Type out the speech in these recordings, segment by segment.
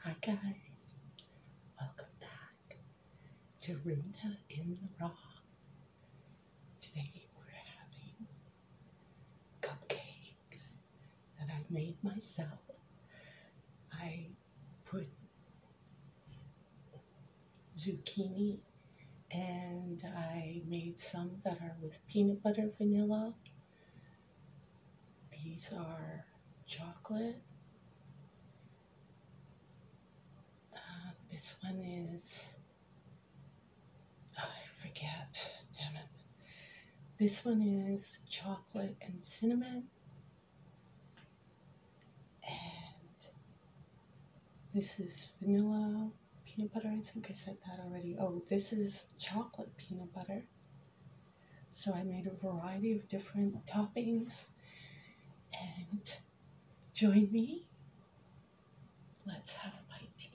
Hi guys, welcome back back to Runda in the Rock. Today we're having cupcakes that I made myself. I put zucchini and I made some that are with peanut butter vanilla. These are chocolate uh, this one is. Oh, I forget. Damn it. This one is chocolate and cinnamon. And this is vanilla peanut butter. I think I said that already. Oh, this is chocolate peanut butter. So I made a variety of different toppings and Join me. Let's have a bite to eat.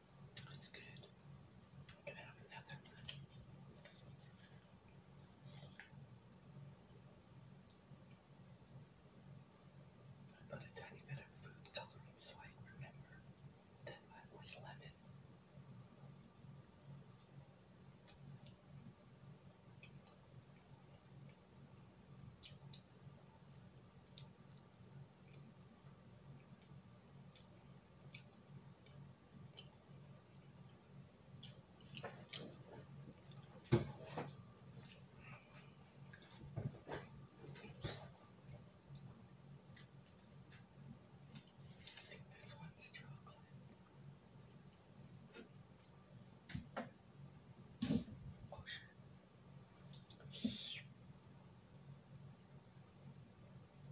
That's good. I put a tiny bit of food coloring so I remember that was lemon. This one's chocolate. Oh, shit.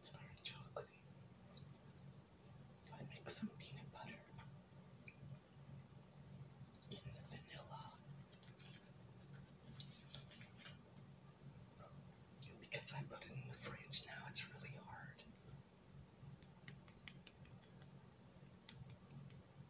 It's very chocolatey. I make some peanut butter in the vanilla. Because I put it in the fridge now, it's really hard.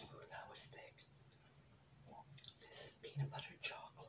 Ooh, that was thick. This is peanut butter chocolate.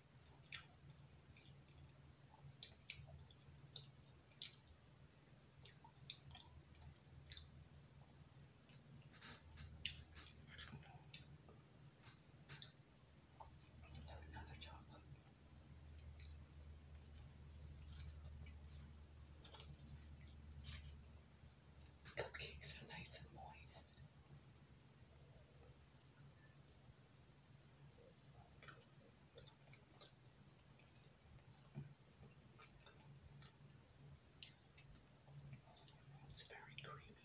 Have another chocolate. Cupcakes are nice and moist. It's very creamy.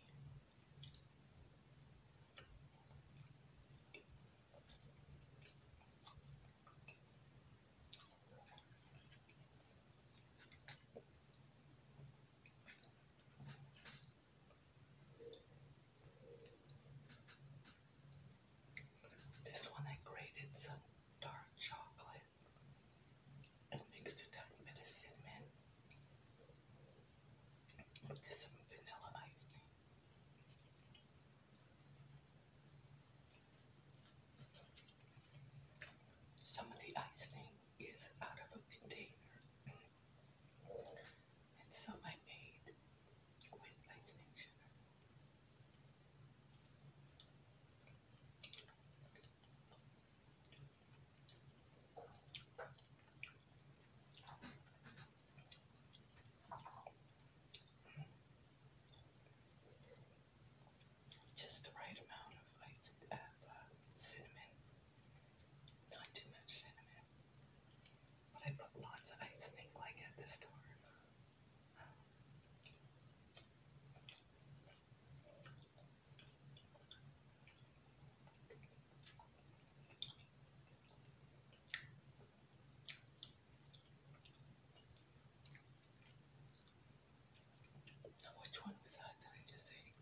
This one I grated some dark chocolate and mixed a bit of cinnamon with some vanilla ice cream. Some of the icing is out of a container. And so I made Gwen Glazing sugar. Just the right amount of, like, uh, cinnamon, not too much cinnamon, but I put lots of ice and ink like at the store. Now which one was that that I just ate?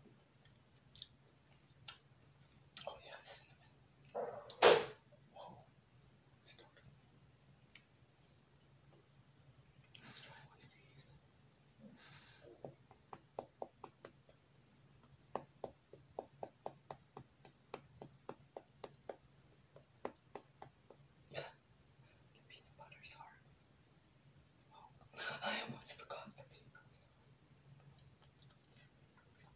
Oh yeah, cinnamon. Let's try one of these. the peanut butter hard. Oh, I almost forgot the peanut butter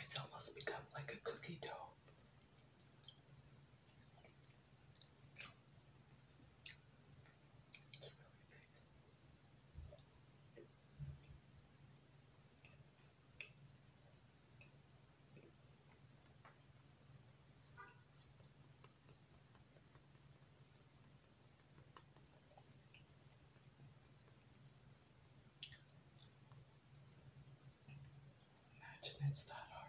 It's almost become like a cookie dough. Imagine it's that hard.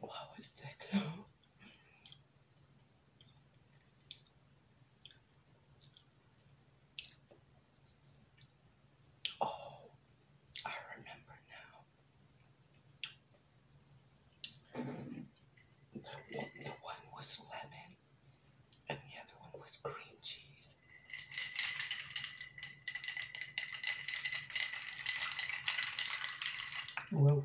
What was that Oh, I remember now. The, the one was lemon and the other one was cream cheese. Whoa.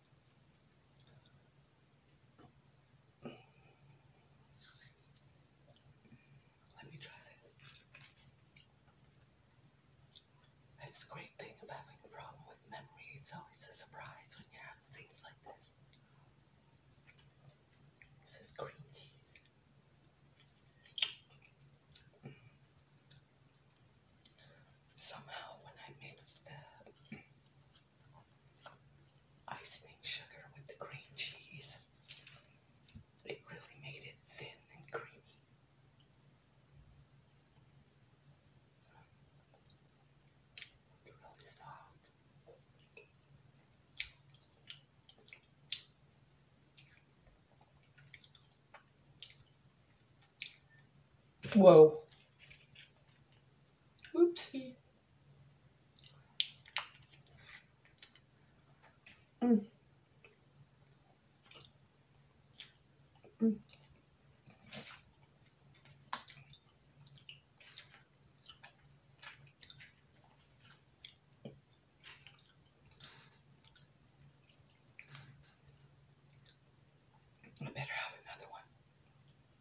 Let me try this. That's great thing about having a problem with memory. It's always a surprise when you have things like this. This is cream cheese. Somehow, when I mix the Icing sugar with the green cheese. It really made it thin and creamy. It's really soft. Whoa. Oopsie. Mm. Mm. I better have another one.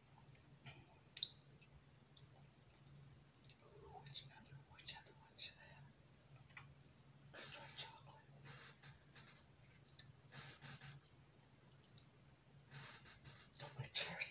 Which other, which other one should I chocolate. Oh, my chair's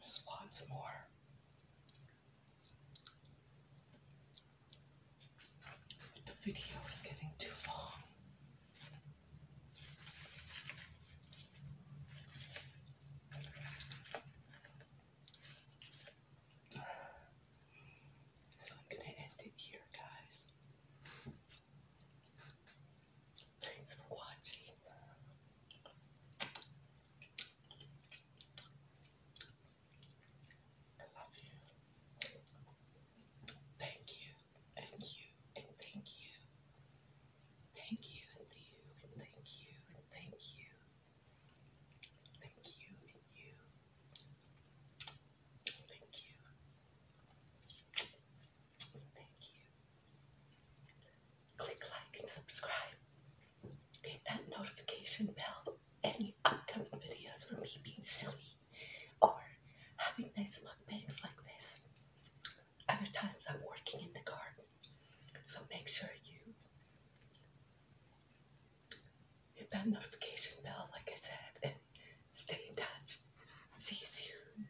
Just want more. The video is getting too long. So I'm going to end it here, guys. Thanks for watching. I love you. Thank you, and you, thank you. Thank you, and you, and thank you, and thank you. Thank you, and you. Thank you. Thank you. Click like and subscribe. Hit that notification bell. Any upcoming videos for me being silly or having nice mukbangs like this. Other times I'm working in the garden so make sure you hit that notification bell, like I said, and stay in touch. See you soon.